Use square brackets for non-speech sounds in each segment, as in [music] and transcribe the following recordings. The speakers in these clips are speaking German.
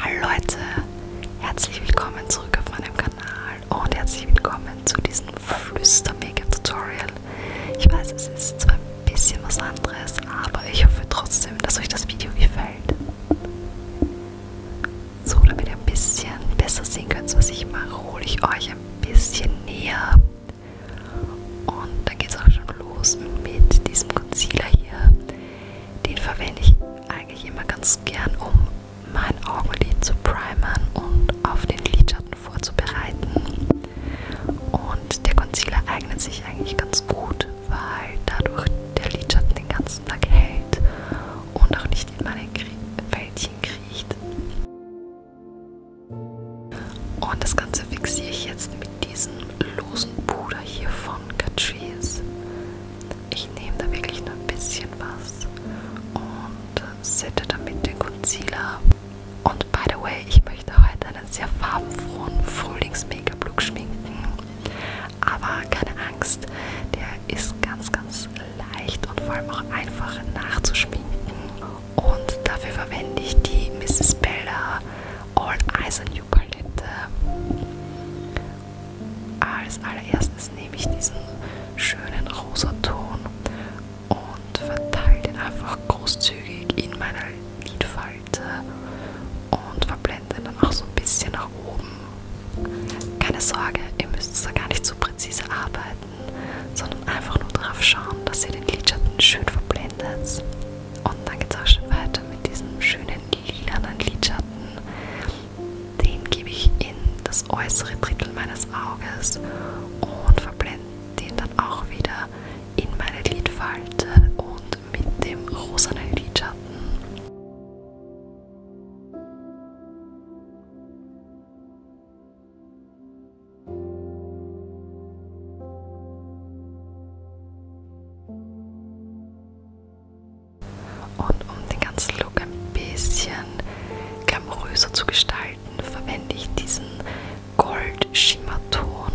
Hallo Leute, herzlich willkommen zurück auf meinem Kanal und herzlich willkommen zu diesem Flüster-Make-up-Tutorial. Ich weiß, es ist zwar ein bisschen was anderes, aber ich hoffe trotzdem, dass euch das Video gefällt. So, damit ihr ein bisschen besser sehen könnt, was ich mache, hole ich euch ein bisschen näher. Und dann geht es auch schon los mit diesem Concealer hier. Den verwende ich eigentlich immer ganz gern, um mein Augenlid zu primern und auf den Lidschatten vorzubereiten. Und der Concealer eignet sich eigentlich ganz gut, weil dadurch der Lidschatten den ganzen Tag hält und auch nicht in meine Krie Fältchen kriecht. Und das Ganze fixiere ich jetzt mit diesem losen Puder hier von Catrice. Ich nehme da wirklich nur ein bisschen was und äh, sette damit den Concealer. Und by the way, ich möchte heute einen sehr farbenfrohen Frühlings-Make-up-Look schminken. Aber keine Angst, der ist ganz, ganz leicht und vor allem auch einfach nachzuschminken. Und dafür verwende ich die Mrs. Bella All Eyes on You Palette. Ah, als allererstes nehme ich diesen schönen rosa Ton und verteile den einfach großzügig in meiner Lidfalte und verblende dann auch so ein bisschen nach oben. Keine Sorge, ihr müsst da gar nicht so präzise arbeiten, sondern einfach nur darauf schauen, dass ihr den Lidschatten schön verblendet. Und dann geht es auch schon weiter mit diesem schönen lilanen Lidschatten, den gebe ich in das äußere Drittel meines Auges und verblende den dann auch wieder in meine Lidfalte und mit dem rosanen Lidschatten. Und um den ganzen Look ein bisschen glamouröser zu gestalten, verwende ich diesen Gold-Schimmerton.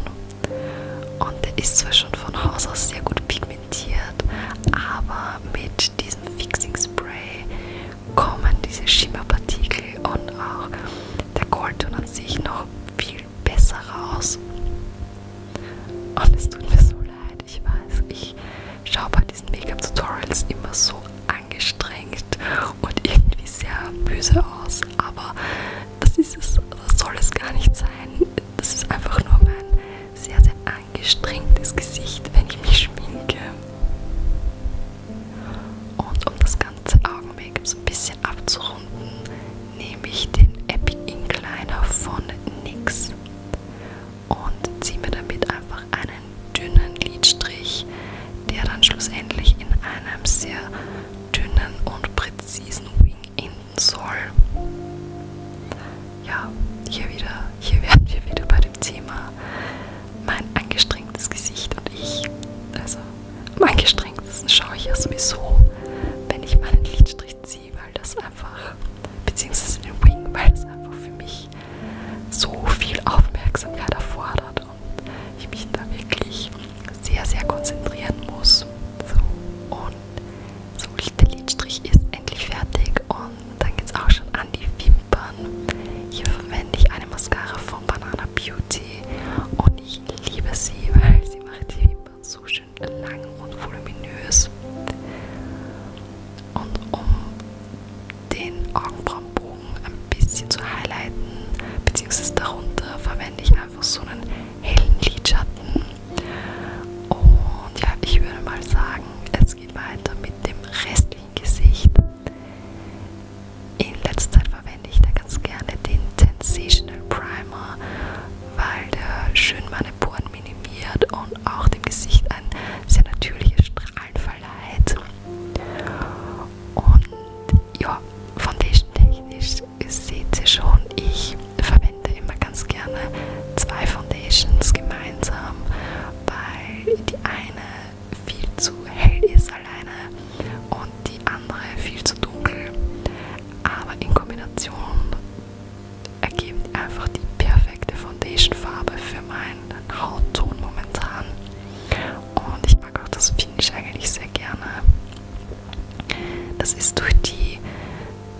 Und der ist zwar schon von Haus aus sehr gut pigmentiert, aber mit diesem Fixing Spray kommen diese Schimmerpartikel und auch der Goldton an sich noch viel besser raus. Und es tut mir so leid, Arbeit, ich weiß. Ich schaue bei diesen Make-up-Tutorials immer so angestrengt und irgendwie sehr böse aus, aber das, ist es, das soll es gar nicht sein. Das ist einfach nur mein sehr, sehr angestrengtes Gesicht, wenn ich mich schminke. Und um das ganze Augen-Make-up so ein bisschen abzurunden, nehme ich den Epic Incliner von NYX und ziehe mir damit einfach einen dünnen Lidstrich, der dann schlussendlich in einem sehr dünnen und präzisen Wing enden soll. Ja, hier wieder, hier [laughs] werden wir wieder bei dem Thema mein angestrengtes Gesicht und ich. Also am angestrengtesten schaue ich ja sowieso, wenn ich meinen Lidstrich Fritzi, weil das einfach, beziehungsweise den Wing, weil das einfach für mich so viel Aufmerksamkeit erfordert und ich mich da wirklich sehr, sehr konzentrieren muss. So, und so, der Lidstrich ist endlich fertig und dann geht es auch schon an die Wimpern. Hier verwende ich eine Mascara von Banana Beauty und ich liebe sie, weil sie macht die Wimpern so schön schön lang und voluminös. Und um den Augenbrauenbogen ein bisschen zu highlighten, beziehungsweise darunter verwende ich einfach so einen hellen Lidschatten. Und ja, ich würde mal sagen, es geht weiter mit dem restlichen Gesicht. In letzter Zeit verwende ich da ganz gerne den Sensational Primer weil der schön meine Poren minimiert und auch dem Gesicht ein sehr natürliches Strahlen verleiht. Und ja, Foundation technisch seht ihr schon, ich verwende immer ganz gerne zwei Foundations gemeinsam, weil die eine viel zu hell ist alleine und die andere viel zu dunkel. Aber in Kombination ergeben einfach die perfekte Foundation-Farbe für meinen Hautton momentan. Und ich mag auch das Finish eigentlich sehr gerne. Das ist durch die,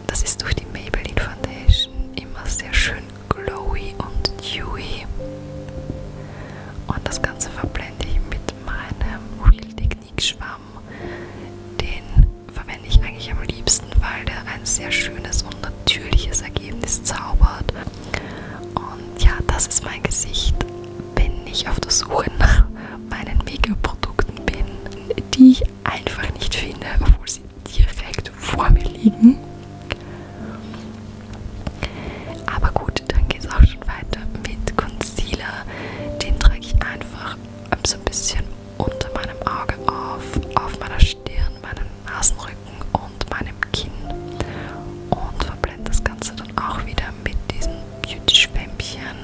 das ist durch die Maybelline Foundation immer sehr schön glowy und dewy. Und das Ganze verblende ich mit meinem Real Technique Schwamm, den verwende ich eigentlich am liebsten, weil der ein sehr schönes und natürliches Ergebnis zaubert. Und ja, das ist mein Gesicht, wenn ich auf der Suche nach meinen Make-up-Produkten bin, die ich einfach nicht finde, obwohl sie direkt vor mir liegen. Aber gut, dann geht es auch schon weiter mit Concealer. Den trage ich einfach so ein bisschen unter meinem Auge auf, auf meiner Stirn, meinem Nasenrücken und meinem Kinn und verblende das Ganze dann auch wieder mit diesen Beauty-Schwämmchen.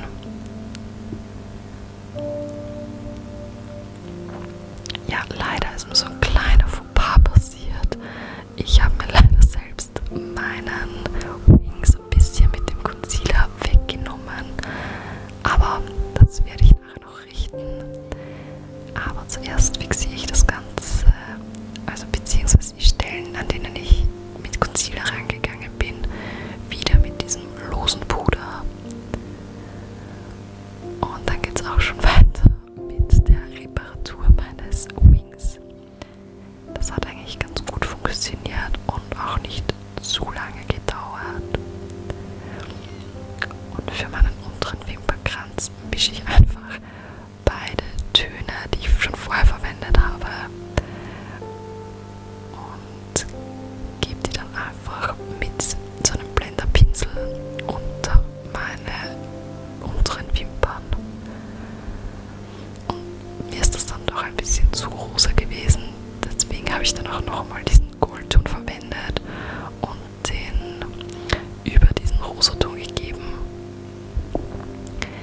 Ja, leider ist mir so ein kleiner Fauxpas passiert. Ich habe mir leider selbst meinen Wings ein bisschen mit dem Concealer weggenommen. Aber das werde ich danach noch richten. Aber zuerst fixiere ich das Ganze, äh, also beziehungsweise die Stellen, an denen ich mit Concealer rangegangen bin, wieder mit diesem losen Puder. Und dann geht es auch schon [laughs] weiter mit der Reparatur meines Wings. Das hat eigentlich ganz gut funktioniert und auch nicht zu lange gedauert. Und für meinen unteren Wimpernkranz mische ich einfach beide Töne, die ich schon vorher verwendet habe, und gebe die dann einfach mit so einem Blenderpinsel unter meine unteren Wimpern. Und mir ist das dann doch ein bisschen zu rosa gewesen, deswegen habe ich dann auch nochmal diesen Kohlton verwendet und den über diesen Rosoton gegeben.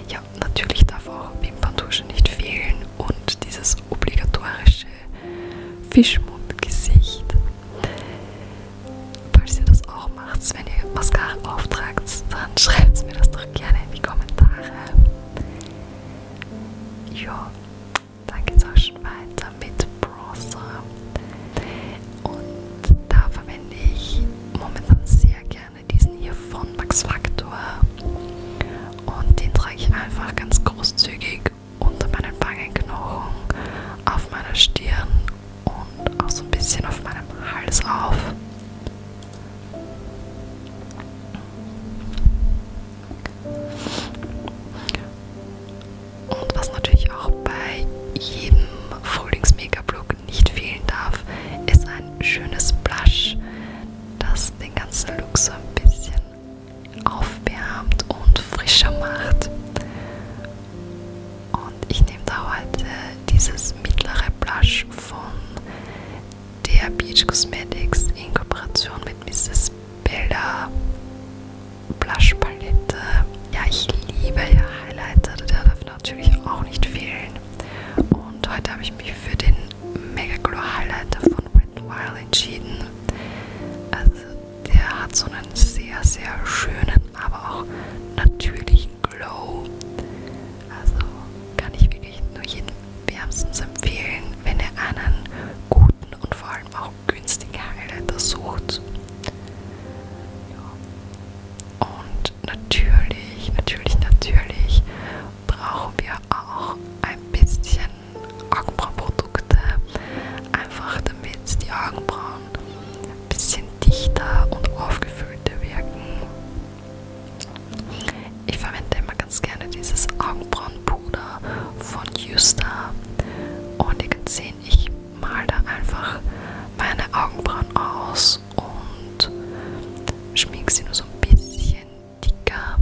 Ja, natürlich darf auch Wimperntusche nicht fehlen und dieses obligatorische Fischmundgesicht. Falls ihr das auch macht, wenn ihr Mascara auftragt, dann [laughs] schreibt mir das doch gerne in die Kommentare. Ja, da geht's auch schon weiter mit Bronzer und da verwende ich momentan sehr gerne diesen hier von Max Factor und den trage ich einfach ganz großzügig unter meinen Wangenknochen, auf meiner Stirn und auch so ein bisschen auf meinem Hals auf. Und was natürlich auch bei jedem Frühlings-Make-up-Look nicht fehlen darf, ist ein schönes Blush, das den ganzen Look so ein bisschen aufwärmt und frischer macht. Und ich nehme da heute dieses mittlere Blush von der Beach Cosmetics in Kooperation mit Mrs. Bilder, Blushpalette. Ja, ich liebe ja Highlighter, der darf natürlich auch nicht fehlen. Und heute habe ich mich für den Mega Glow Highlighter von Wet n Wild entschieden. Also der hat so einen sehr, sehr schönen, aber auch natürlichen Glow. Also kann ich wirklich nur jedem wärmstens empfehlen, wenn ihr einen guten und vor allem auch auch günstige Highlighter sucht. Ja. Und natürlich, natürlich, natürlich brauchen wir auch ein bisschen Augenbrauenprodukte, einfach damit die Augenbrauen ein bisschen dichter und aufgefüllter wirken. Ich verwende immer ganz gerne dieses Augenbrauenpulver Bruder von Justa. Und ihr könnt sehen, ich mal da einfach meine Augenbrauen aus und schmink sie nur so ein bisschen dicker.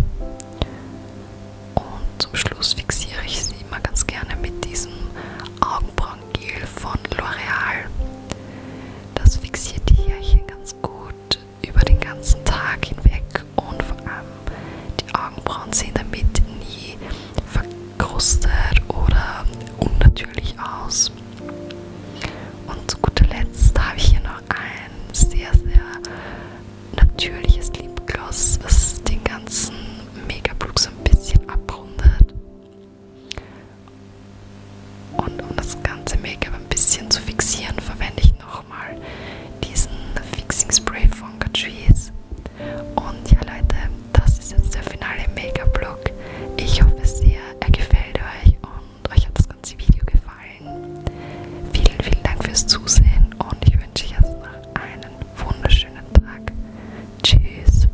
Und zum Schluss fixiere ich sie immer ganz gerne mit diesem Augenbrauengel von L'Oreal. Das fixiert die Härchen ganz gut über den ganzen Tag hinweg und vor allem die Augenbrauen sehen damit nie verkrustet oder unnatürlich aus. Und zu guter Letzt habe ich hier noch ein sehr, sehr natürliches Lipgloss, was den ganzen Megablook so ein bisschen abrundet. Und um das ganze Make-up ein bisschen zu fixieren, verwende ich ich nochmal diesen Fixing Spray von Catrice. Und ja Leute, das ist jetzt der finale Make-up-Look. Ich hoffe sehr, er gefällt euch und euch hat das ganze Video gefallen. Vielen, vielen Dank fürs Zusehen und ich wünsche euch jetzt noch einen wunderschönen Tag. Tschüss.